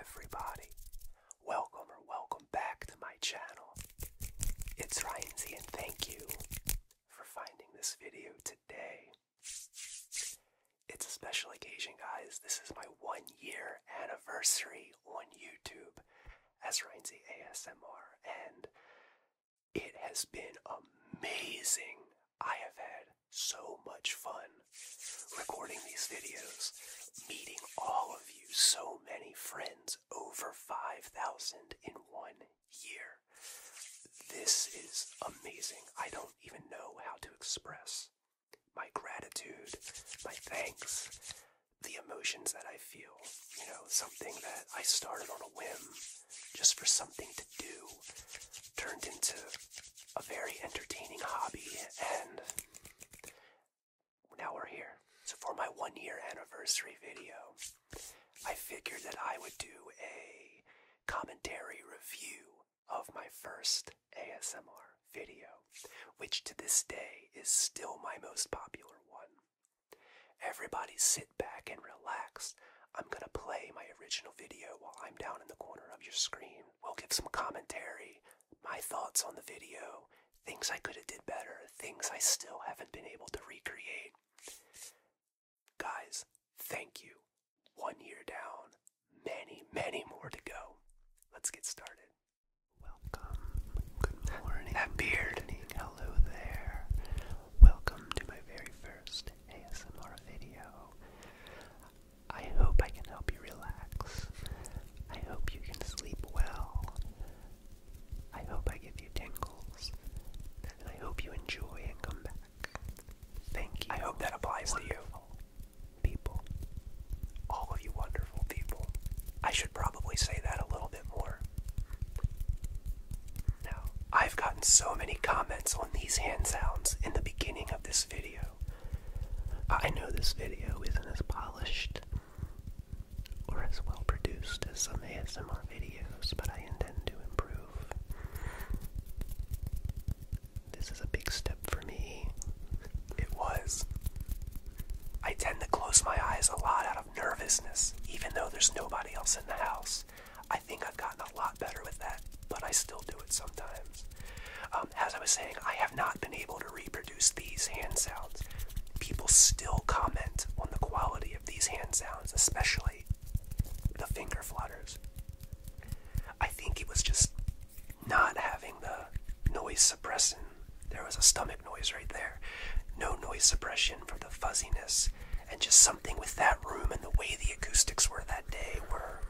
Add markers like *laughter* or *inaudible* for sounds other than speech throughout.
everybody. Welcome or welcome back to my channel. It's Ryan Z and thank you for finding this video today. It's a special occasion, guys. This is my one year anniversary on YouTube as Ryan Z ASMR, and it has been amazing. I have had so much fun recording these videos, meeting all of you, so many friends, over 5,000 in one year. This is amazing. I don't even know how to express my gratitude, my thanks, the emotions that I feel. You know, something that I started on a whim just for something to do turned into a very entertaining hobby and now we're here. So for my one year anniversary video, I figured that I would do a commentary review of my first ASMR video, which to this day is still my most popular one. Everybody sit back and relax. I'm gonna play my original video while I'm down in the corner of your screen. We'll give some commentary, my thoughts on the video, things I could have did better, things I still haven't been able to recreate. Guys, thank you. One year down, many, many more to go. Let's get started. Welcome. Good morning. That beard. Hello there. Welcome to my very first ASMR video. I hope I can help you relax. I hope you can sleep well. I hope I give you tingles. I hope you enjoy and come back. Thank you. I hope that applies to you. People. All of you wonderful people. I should probably say that a little bit more. Now, I've gotten so many comments on these hand sounds in the beginning of this video I know this video isn't as polished or as well produced as some ASMR videos, but I intend to improve. This is a big step for me. It was. I tend to close my eyes a lot out of nervousness, even though there's nobody else in the house. I think I've gotten a lot better with that but I still do it sometimes. Um, as I was saying, I have not been able to reproduce these hand sounds. People still comment on the quality of these hand sounds, especially the finger flutters. I think it was just not having the noise suppression. There was a stomach noise right there. No noise suppression for the fuzziness. And just something with that room and the way the acoustics were that day were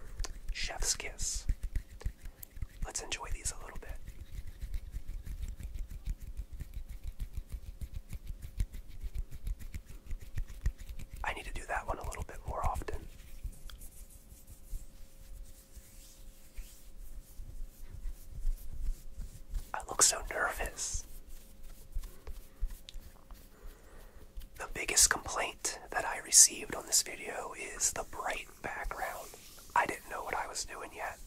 Chef's Kiss. Let's enjoy these a little bit. I need to do that one a little bit more often. I look so nervous. The biggest complaint that I received on this video is the bright background. I didn't know what I was doing yet.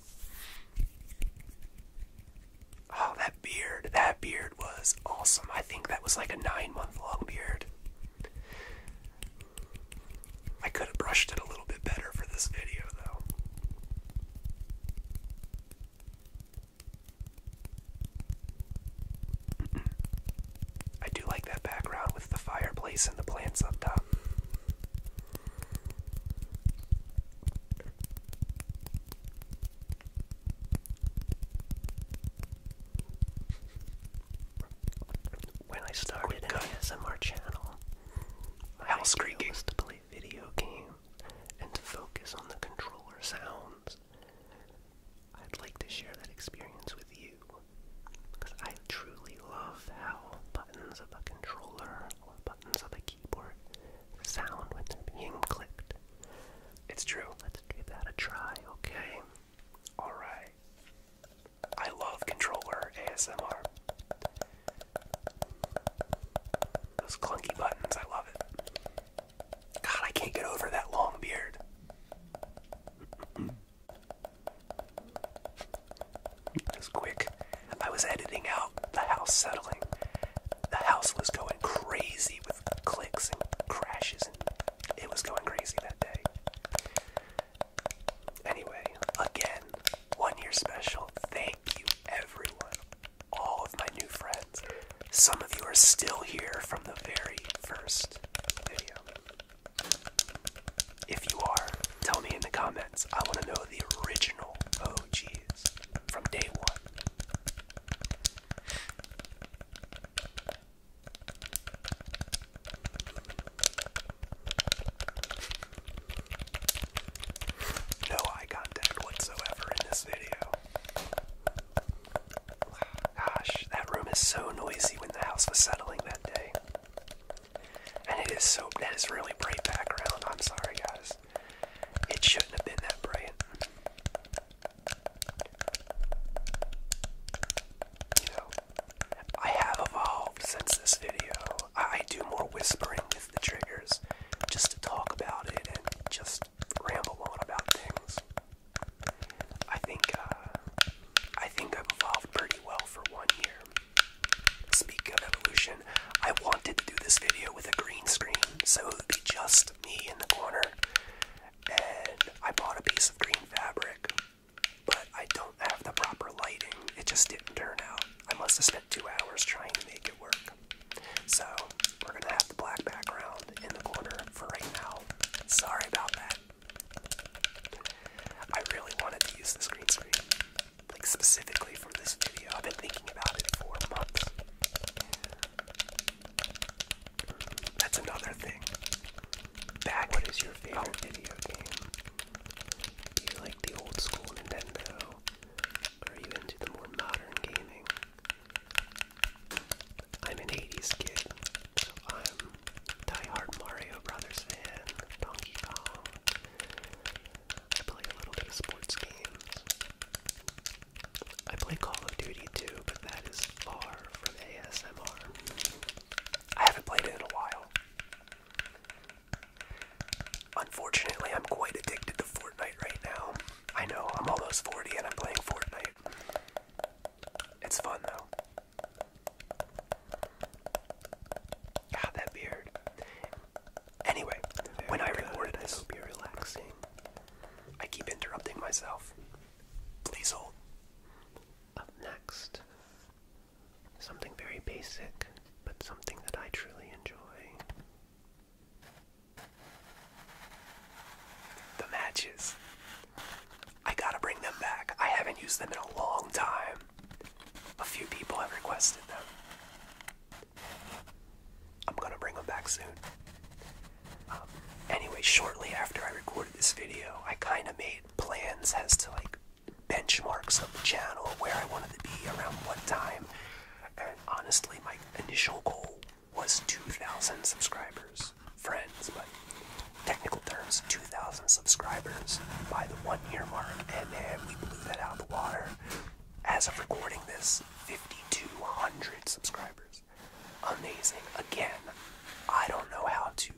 Oh, that beard. That beard was awesome. I think that was like a nine month long beard. I could have brushed it a little bit better for this video, though. I do like that background with the fireplace and the plants up top. When I started an ASMR channel, my House idea creaking. was to play video games and to focus on the controller sounds I'd like to share that experience with you because I truly love how buttons of a controller buttons of a keyboard sound when they're being clicked. It's true. Let's give that a try, okay? Alright. I love controller ASMR. Those clunky buttons, I love it. God, I can't get over that long beard. That was quick. I was editing out the house settling. The house was going crazy with clicks and crashes, and it was going crazy that day. Anyway, again, one year special. Thank you, everyone. All of my new friends. Some of you are still here from the very first video. If you are, tell me in the comments. I want to know the original OGs from day one. No eye contact whatsoever in this video. Gosh, that room is so noisy when the house was settling that day. And it is so, that is really bright background. I'm sorry, guys. It shouldn't have been that bright. You know, I have evolved since this video. I, do more whispering with the triggers just to talk about it and just ramble on about things. I think uh, I think I've evolved pretty well for one year. Speak of evolution, I wanted to do this video with a green screen, so it would be just me in the corner. And I bought a piece of green fabric, but I don't have the proper lighting. It just didn't turn out. I must have spent two hours trying to make it work. So we're gonna have the black background in the corner for right now. Sorry about that. I really wanted to use the green screen, like specifically for this video. I've been thinking about it for months. That's another thing. Back what is your favorite oh. video game? Do you like the old school Nintendo? Or are you into the more modern gaming? I'm an 80s kid, so I'm die-hard Mario Brothers fan, Donkey Kong. I play a little bit of sports games. I play Call of Duty too, but that is far from ASMR. I haven't played it in a while. Unfortunately, I'm quite addicted to Fortnite right now. I know, I'm almost 40 and I'm playing Fortnite. It's fun though. God, that beard. Anyway, when I good. I hope you're relaxing. I keep interrupting myself. Please hold. Up next, something very basic, but something that I truly enjoy. The matches. I gotta bring them back. I haven't used them in a long time. A few people have requested them. I'm gonna bring them back soon. Um, anyway, shortly after I recorded this video, I kind of made plans as to like benchmarks of the channel, where I wanted to be around one time, and honestly, my initial goal was 2,000 subscribers. Friends, but technical terms, 2,000 subscribers by the one year mark, and then we blew that out of the water. As of recording this, 5,200 subscribers. Amazing. Again, I don't know how to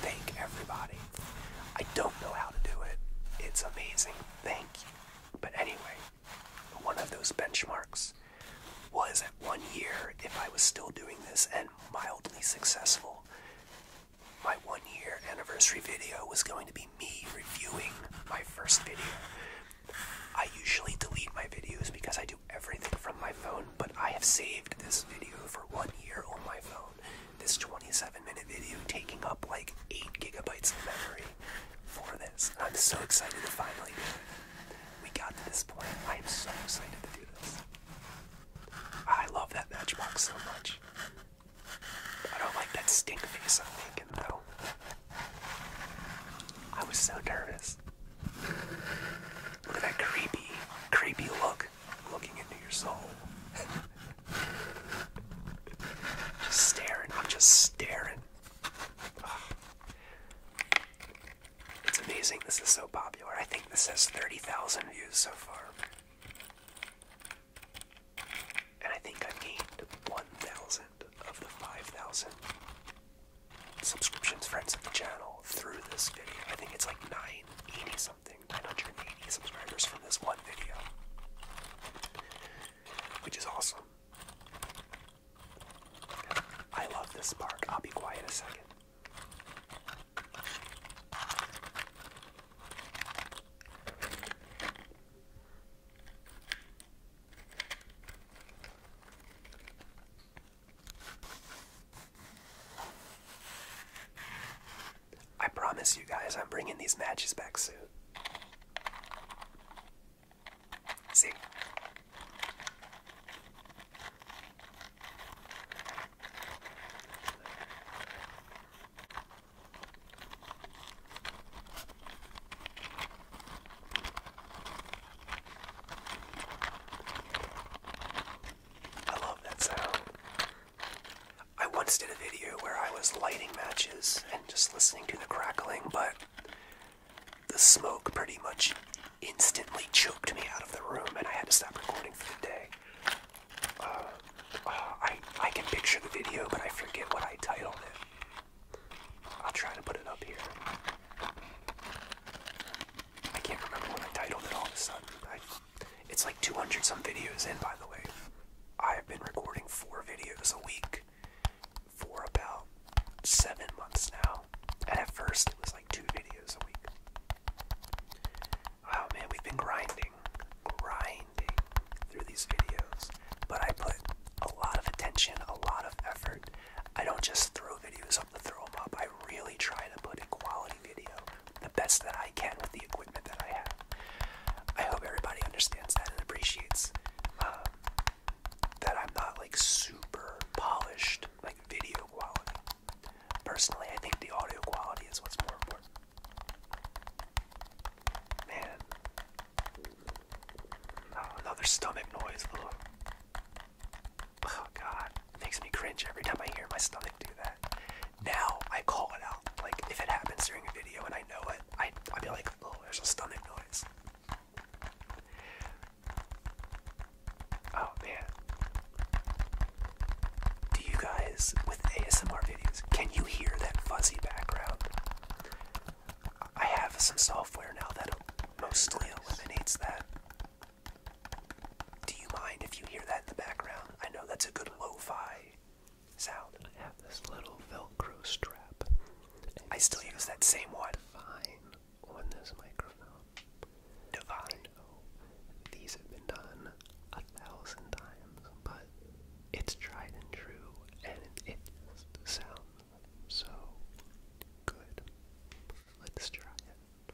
thank everybody. I don't know how to do it. It's amazing. Thank you. But anyway, one of those benchmarks was at one year, if I was still doing this and mildly successful, my one year anniversary video was going to be me reviewing my first video. I usually delete my videos because I do everything from my phone, but I have saved this video for one year on my phone. This 27 minute video taking up like 8 gigabytes of memory for this. I'm so excited to finally do it we got to this point. I am so excited to do this. I love that matchbox so much. I don't like that stink face I'm making though. I was so nervous. Look at that creepy, creepy look looking into your soul. *laughs* just staring. I'm just staring. It's amazing this is so popular. I think this has 30,000 views so far. And I think I've gained 1,000 of the 5,000 subscriptions friends of the channel through this video. I think it's like 980 something, 980 subscribers from this one video. Which is awesome. I love this park. I'll be quiet a second. I promise you guys I'm bringing these matches back soon. See? I love that sound. I once did a video where I was lighting matches and just listening to the crackling, but the smoke pretty much instantly choked me out of the room, and I had to stop recording for the day. Uh, uh, I I can picture the video, but I forget what I titled it. I'll try to put it up here. I can't remember what I titled it all of a sudden. it's like 200 some videos in, by the way. I've been recording four videos a week for about seven months now. And at first, it was like two videos a week. Oh man, we've been grinding, grinding through these videos. But I put a lot of attention, a lot of effort. I don't just throw videos up to throw them up. I really try to put a quality video, the best that I can with the equipment that I have. I hope everybody understands that and appreciates um, that I'm not like super polished, like video quality. Personally, I think the audio quality is what's more important. Man. Oh, another stomach noise. Ugh. Oh god. It makes me cringe every time I hear my stomach do that. Now I call it out. Like if it happens during a video and I know it, I I'd be like, oh, there's a stomach noise. Oh man. Do you guys, with ASMR videos, can you hear that fuzzy background? I have some software now that mostly eliminates that. Do you mind if you hear that in the background? I know that's a good lo fi sound. I have this little Velcro strap I still use that same word, Divine on this microphone. Divine. These have been done a thousand times, but it's tried and true, and it, sounds so good. Let's try it.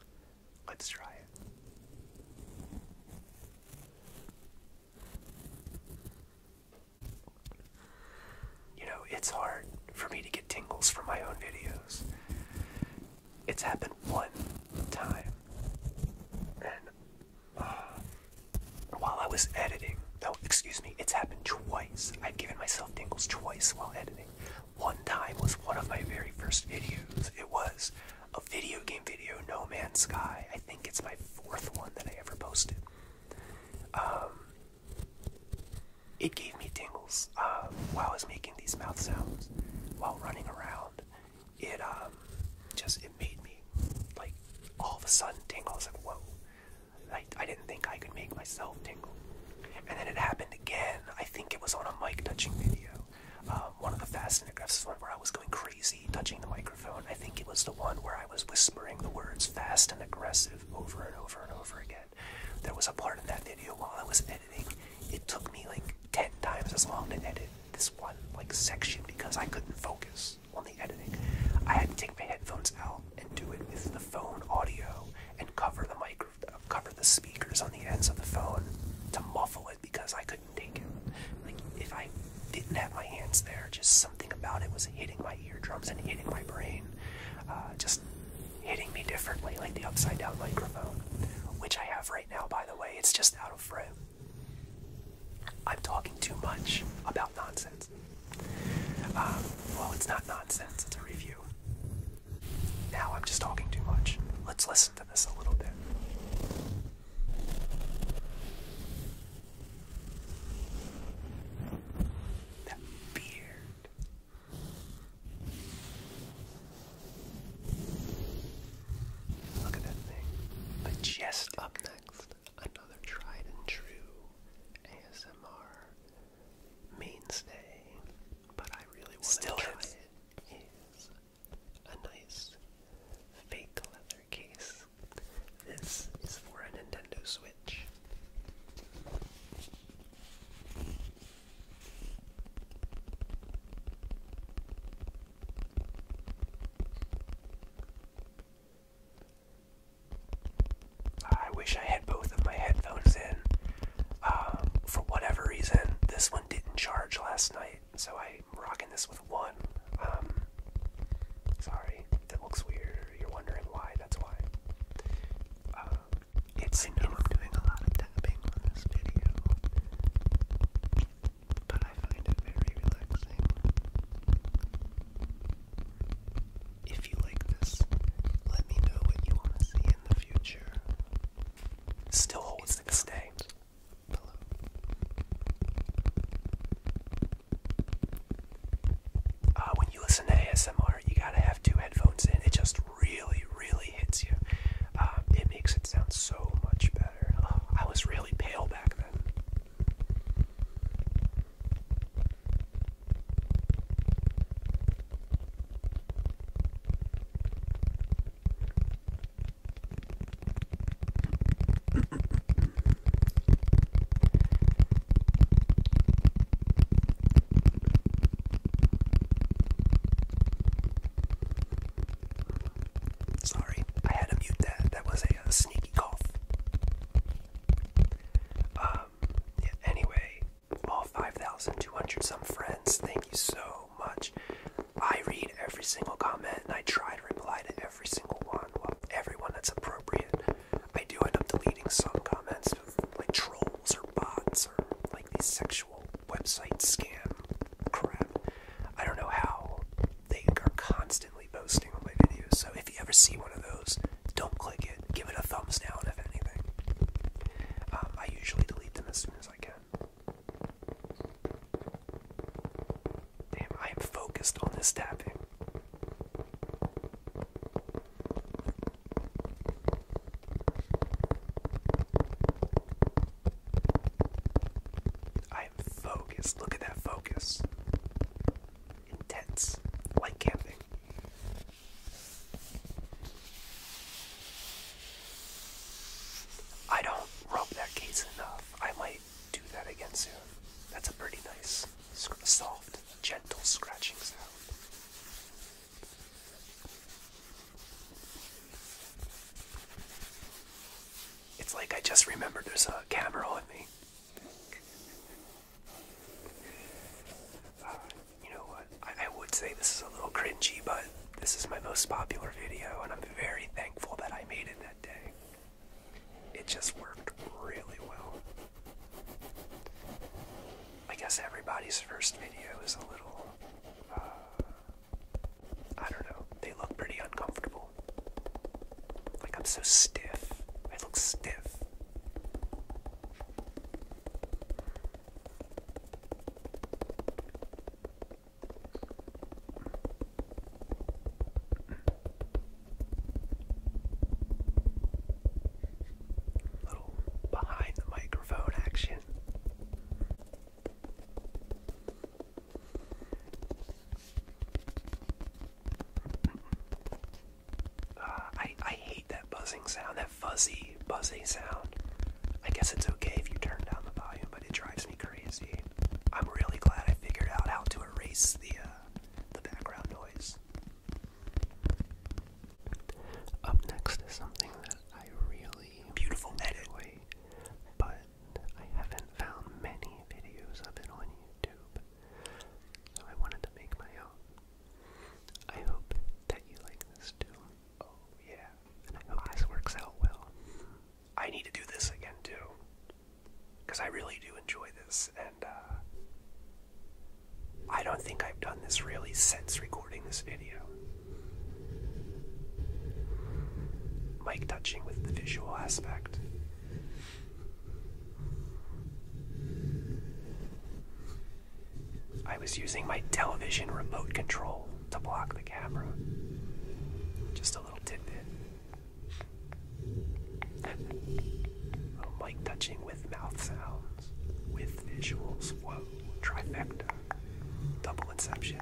Let's try it. You know, it's hard for me to get tingles from my own videos. It's happened one time. And uh, while I was editing, no, excuse me, it's happened twice. I've given myself tingles twice while editing. One time was one of my very first videos. It was a video game video, No Man's Sky. I think it's my fourth one that I ever posted. Um, it gave me tingles um, while I was making these mouth sounds, while running around. It um, just it made me like all of a sudden tingle. I like, whoa! Like I didn't think I could make myself tingle. And then it happened again. I think it was on a mic touching video. Um, one of the fast and aggressive one where I was going crazy touching the microphone. I think it was the one where I. I was whispering the words fast and aggressive over and over and over again. There was a part of that video while I was editing, it took me like 10 times as long to edit this one like section because I couldn't focus on the editing. I had to take my headphones out and do it with the phone audio and cover the micro cover the speakers on the ends of the phone to muffle it because I couldn't take it. Like if I didn't have my hands there, just something about it was hitting my eardrums and hitting my brain, uh, just hitting me differently, like the upside down microphone, which I have right now, by the way. It's just out of frame. I'm talking too much about nonsense. Um, well, it's not nonsense, it's a review. Now I'm just talking too much. Let's listen to this a little bit. The beard. Look at that thing. Majestic. Up next, another tried and true ASMR mainstay, but I really want to try is. it. Is a nice fake leather case this is for a Nintendo Switch. I wish I had both of my headphones in. Um, for whatever reason, this one didn't charge last night, so I'm rocking this with one. Um, Sorry, that looks weird. You're wondering why, that's why. Um, I know I'm doing a lot of tapping on this video, but I find it very relaxing. If you like this, let me know what you want to see in the future. Still holds the this uh, when you listen to ASMR, you gotta have two headphones in. It just really, really hits you. Um, it makes it sound so much better. Oh, I was really pale back then. *clears throat* Sorry, I had to mute that. That was a, sneaky cough. Um, yeah, anyway, all 5,200 some friends, thank you so much. I read every single comment and I try to reply to every every single one, well, everyone that's appropriate. I do end up deleting some comments of like trolls or bots or like these sexual website scam crap. I don't know how they are constantly posting on my videos, so if you ever see one of those, don't click it. Give it a thumbs down if anything. Um, I usually delete them as soon as I can. Damn, I am focused on this tapping. I am focused. Look at that focus. Intense. Like camping. I don't rub that case enough. I might do that again soon. That's a pretty nice, soft, gentle scratching sound. It's like I just remembered there's a camera on me. Uh, you know what? I would say this is a little cringy, but this is my most popular video, and I'm very thankful that I made it that day it just worked really well. I guess everybody's first video is a little. Uh, I don't know. They look pretty uncomfortable. Like I'm so stiff. I look stiff. Little behind the microphone action. Uh, I I hate that buzzing sound, that fuzzy buzzy sound. I guess it's okay if you turn down the volume, but it drives me crazy. I'm really glad I figured out how to erase the uh, the background noise. Up next is something that I really beautiful enjoy, but I haven't found many videos of it on YouTube, so I wanted to make my own. I hope that you like this too. Oh yeah, and I hope this works out well. I need to do this again too because I really do enjoy this, and uh, I don't think I've done this really since recording this video. Mic touching with the visual aspect. I was using my television remote control to block the camera. Just a little tidbit oh, mic touching with mouth sounds, with visuals. Whoa, trifecta, double inception.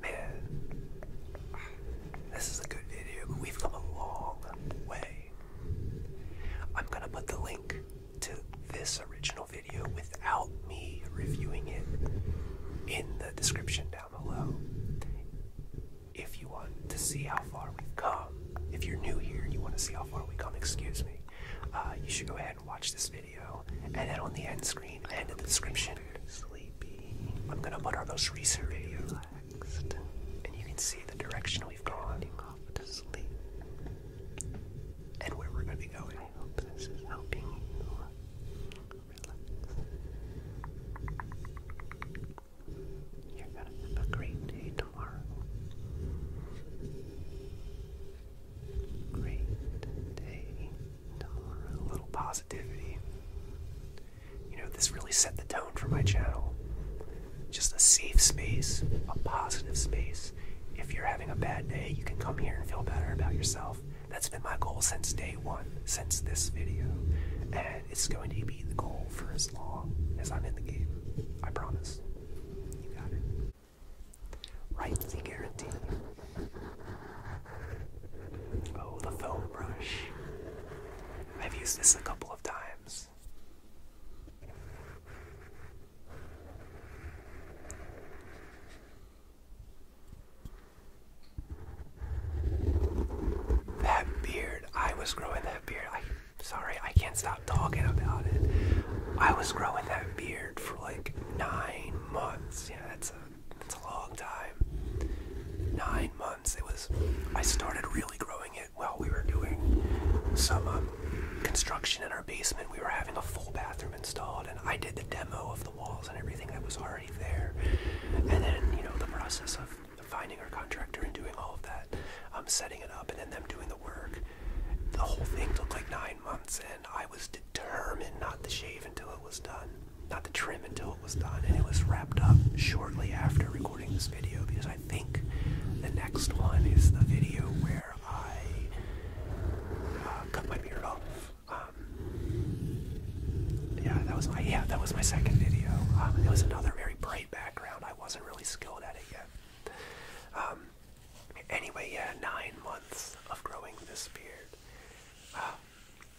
Man, this is a good video. We've come a long way. I'm gonna put the link to this original video without me reviewing it in the description down below. If you want to see how far we've come, if you're new here you want to see how far we've come, excuse me, uh, you should go ahead and watch this video. And then on the end screen and in the description, I'm gonna put our most recent video relaxed, and you can see the direction we've gone to sleep and where we're gonna be this is helping you relax. You're gonna have a great day tomorrow. Great day tomorrow. A little positivity. You know, this really set the tone for my channel. Just a safe space, a positive space. If you're having a bad day, you can come here and feel better about yourself. That's been my goal since day one, since this video. And it's going to be the goal for as long as I'm in the game. I promise. You got it. Rightly guaranteed. Oh, the foam brush. I've used this a couple of times. That beard, I was growing that beard. sorry, I can't stop talking about it. I was growing that beard for like nine months. Yeah, that's a it's a long time. Nine months. It was. I started really growing it while we were doing some um, construction in our basement. We were having a full bathroom installed, and I did the demo of the walls and everything that was already there. And then, you know, the process of finding our contractor and doing all of that, um, setting it up, and then them doing the work. The whole thing took like nine months, and I was determined not to shave until it was done not the trim until it was done and it was wrapped up shortly after recording this video because I think the next one is the video where I uh, cut my beard off. Um, yeah, that was my yeah that was my second video. Um, it was another very bright background. I wasn't really skilled at it yet. Um, anyway, yeah, nine months of growing this beard. Uh,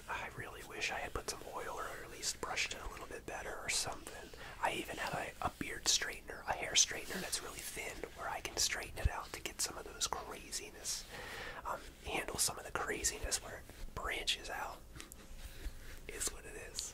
I really wish I had put some oil or at least brushed it a little bit better or something. I even have a, beard straightener, a hair straightener that's really thin where I can straighten it out to get some of those craziness, um, handle some of the craziness where it branches out, is what it is.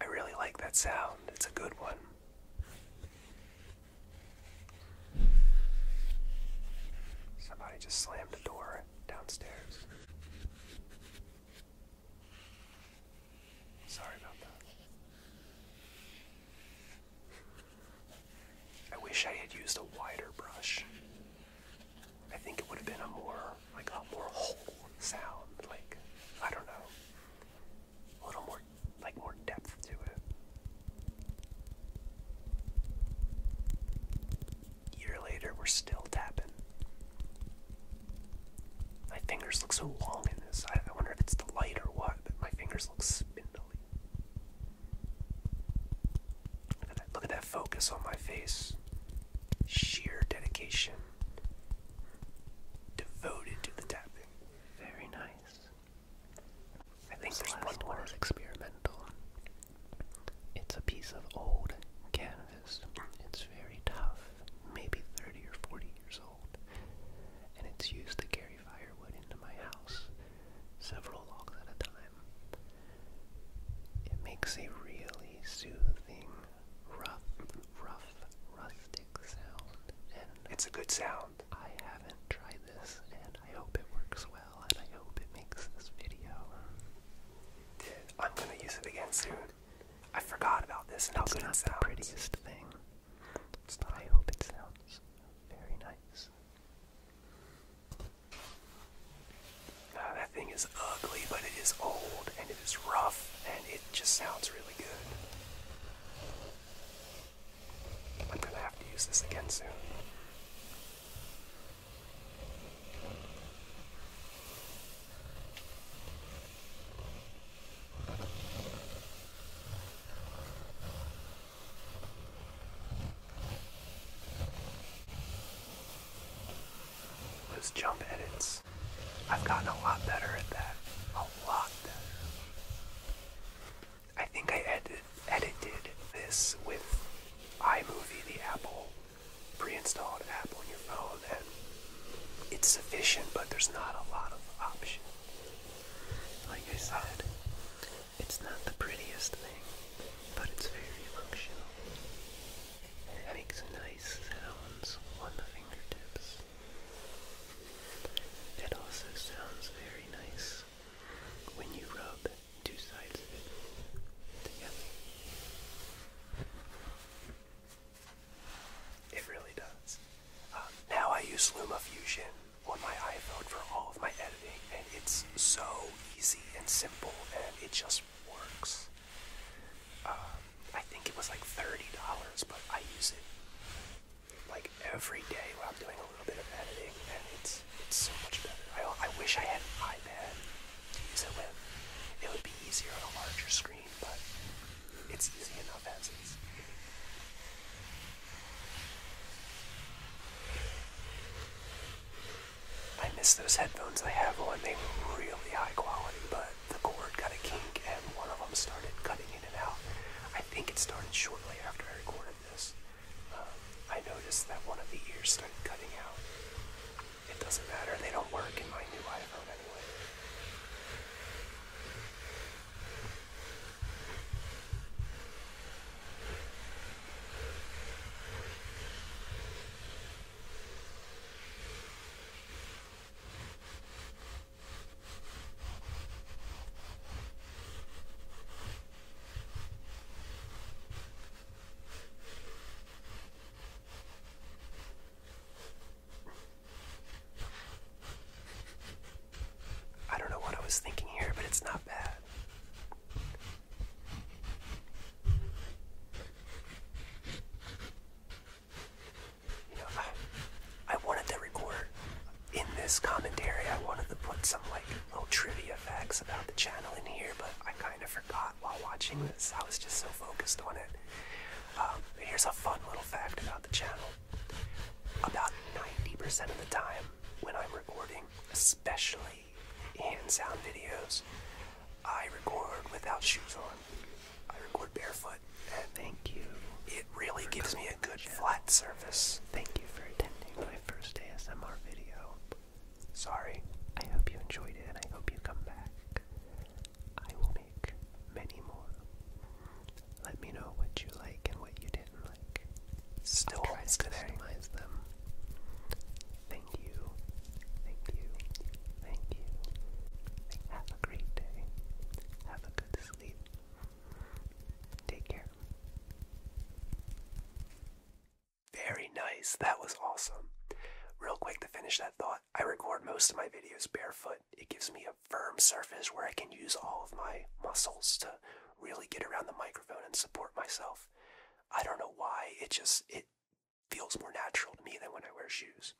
I really like that sound. It's a good one. Somebody just slammed the door downstairs. Sorry about that. I wish I had used a wider brush. I think it would have been a more like a more whole sound. Like I don't know a little more like more depth to it. Year later, we're still tapping. My fingers look so long in this. I, wonder if it's the light or what, but my fingers look spindly. Look at that, look at that focus on my face. Sheer dedication. Devoted to the tap. Very nice. I think this last one is experimental. It's a piece of old canvas. It's very tough, maybe 30 or 40 years old, and it's used to carry firewood into my house, several logs at a time. It makes a really soothing rough, rough, rustic sound. And it's a good sound. I haven't tried this, and I hope it works well, and I hope it makes this video. I'm gonna use it again soon. I forgot about this and how it's good it sounds. the prettiest thing. I hope it sounds very nice. that thing is ugly, but it is old and it is rough and it it just sounds really good. I'm gonna have to use this again soon. Those jump edits I've gotten a lot better at that. A lot better. I think I edited this with iMovie, the Apple pre-installed app on your phone, and it's sufficient, but there's not a lot of options. Like I said, it's not the prettiest thing, but it's very functional. it makes nice sounds on the fingertips. It also sounds very nice when you rub two sides of it together. It really does. Um, now I use Luma Fusion on my iPhone for all of my editing, and it's so easy and simple, and it just works. Um, I think it was like $30, but I use it like every day when I'm doing a little bit of editing, and it's it's so much better. I, I wish I had an iPad to use it with. It would be easier on a larger screen, but it's easy enough as is. I miss those headphones I have on. They were really high quality, but the cord got a kink and one of them started cutting in and out. I think it started shortly after I recorded this. Um, I noticed that one of the ears started cutting out. It doesn't matter, they don't work in my new iPhone anyway. I don't know what I was thinking here, but it's not bad you know, I, wanted to record in this commentary. I wanted to put some like little trivia facts about the channel in here, but I kind of forgot while watching this. I was just so focused on it. Um, here's a fun little fact about the channel. About 90% of the time when I'm recording, especially hand sound videos, I record without shoes on. I record barefoot. And Thank you. It really gives me a good flat surface. Thank you for attending my first ASMR video. Sorry. I hope you enjoyed it and I hope you come back. I will make many more. Let me know what you like and what you didn't like. Still i to customize them. Thank you Thank you. Thank you. Have a great day. Have a good sleep. Take care. Very nice. That was awesome. Real quick to finish that thought, I record most of my videos barefoot. It gives me a firm surface where I can use all of my muscles to really get around the microphone and support myself. I don't know why, it just it Feels more natural to me than when I wear shoes.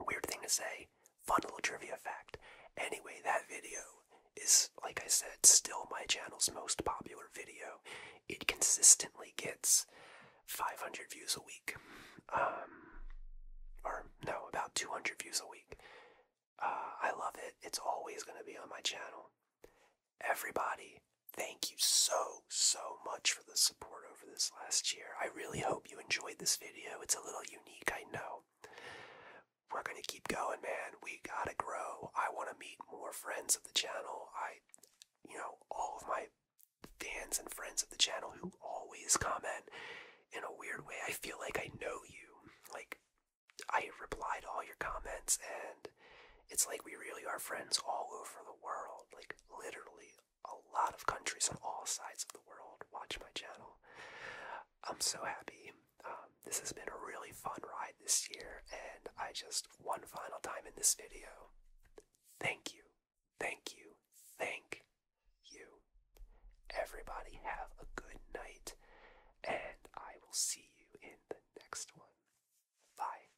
Weird thing to say, fun little trivia fact. Anyway, that video is, like I said, still my channel's most popular video. It consistently gets 500 views a week. Um, or, no, about 200 views a week. Uh, I love it. It's always going to be on my channel. Everybody, thank you so so, much for the support over this last year. I really hope you enjoyed this video. It's a little unique, I know. We're going to keep going, man. We got to grow. I want to meet more friends of the channel. I, you know, all of my fans and friends of the channel who always comment in a weird way. I feel like I know you. Like, I reply to all your comments, and it's like we really are friends all over the world. Like, literally a lot of countries on all sides of the world watch my channel. I'm so happy. Um, this has been a really fun ride this year, and I just, one final time in this video, thank you, thank you, thank you. Everybody have a good night, and I will see you in the next one. Bye.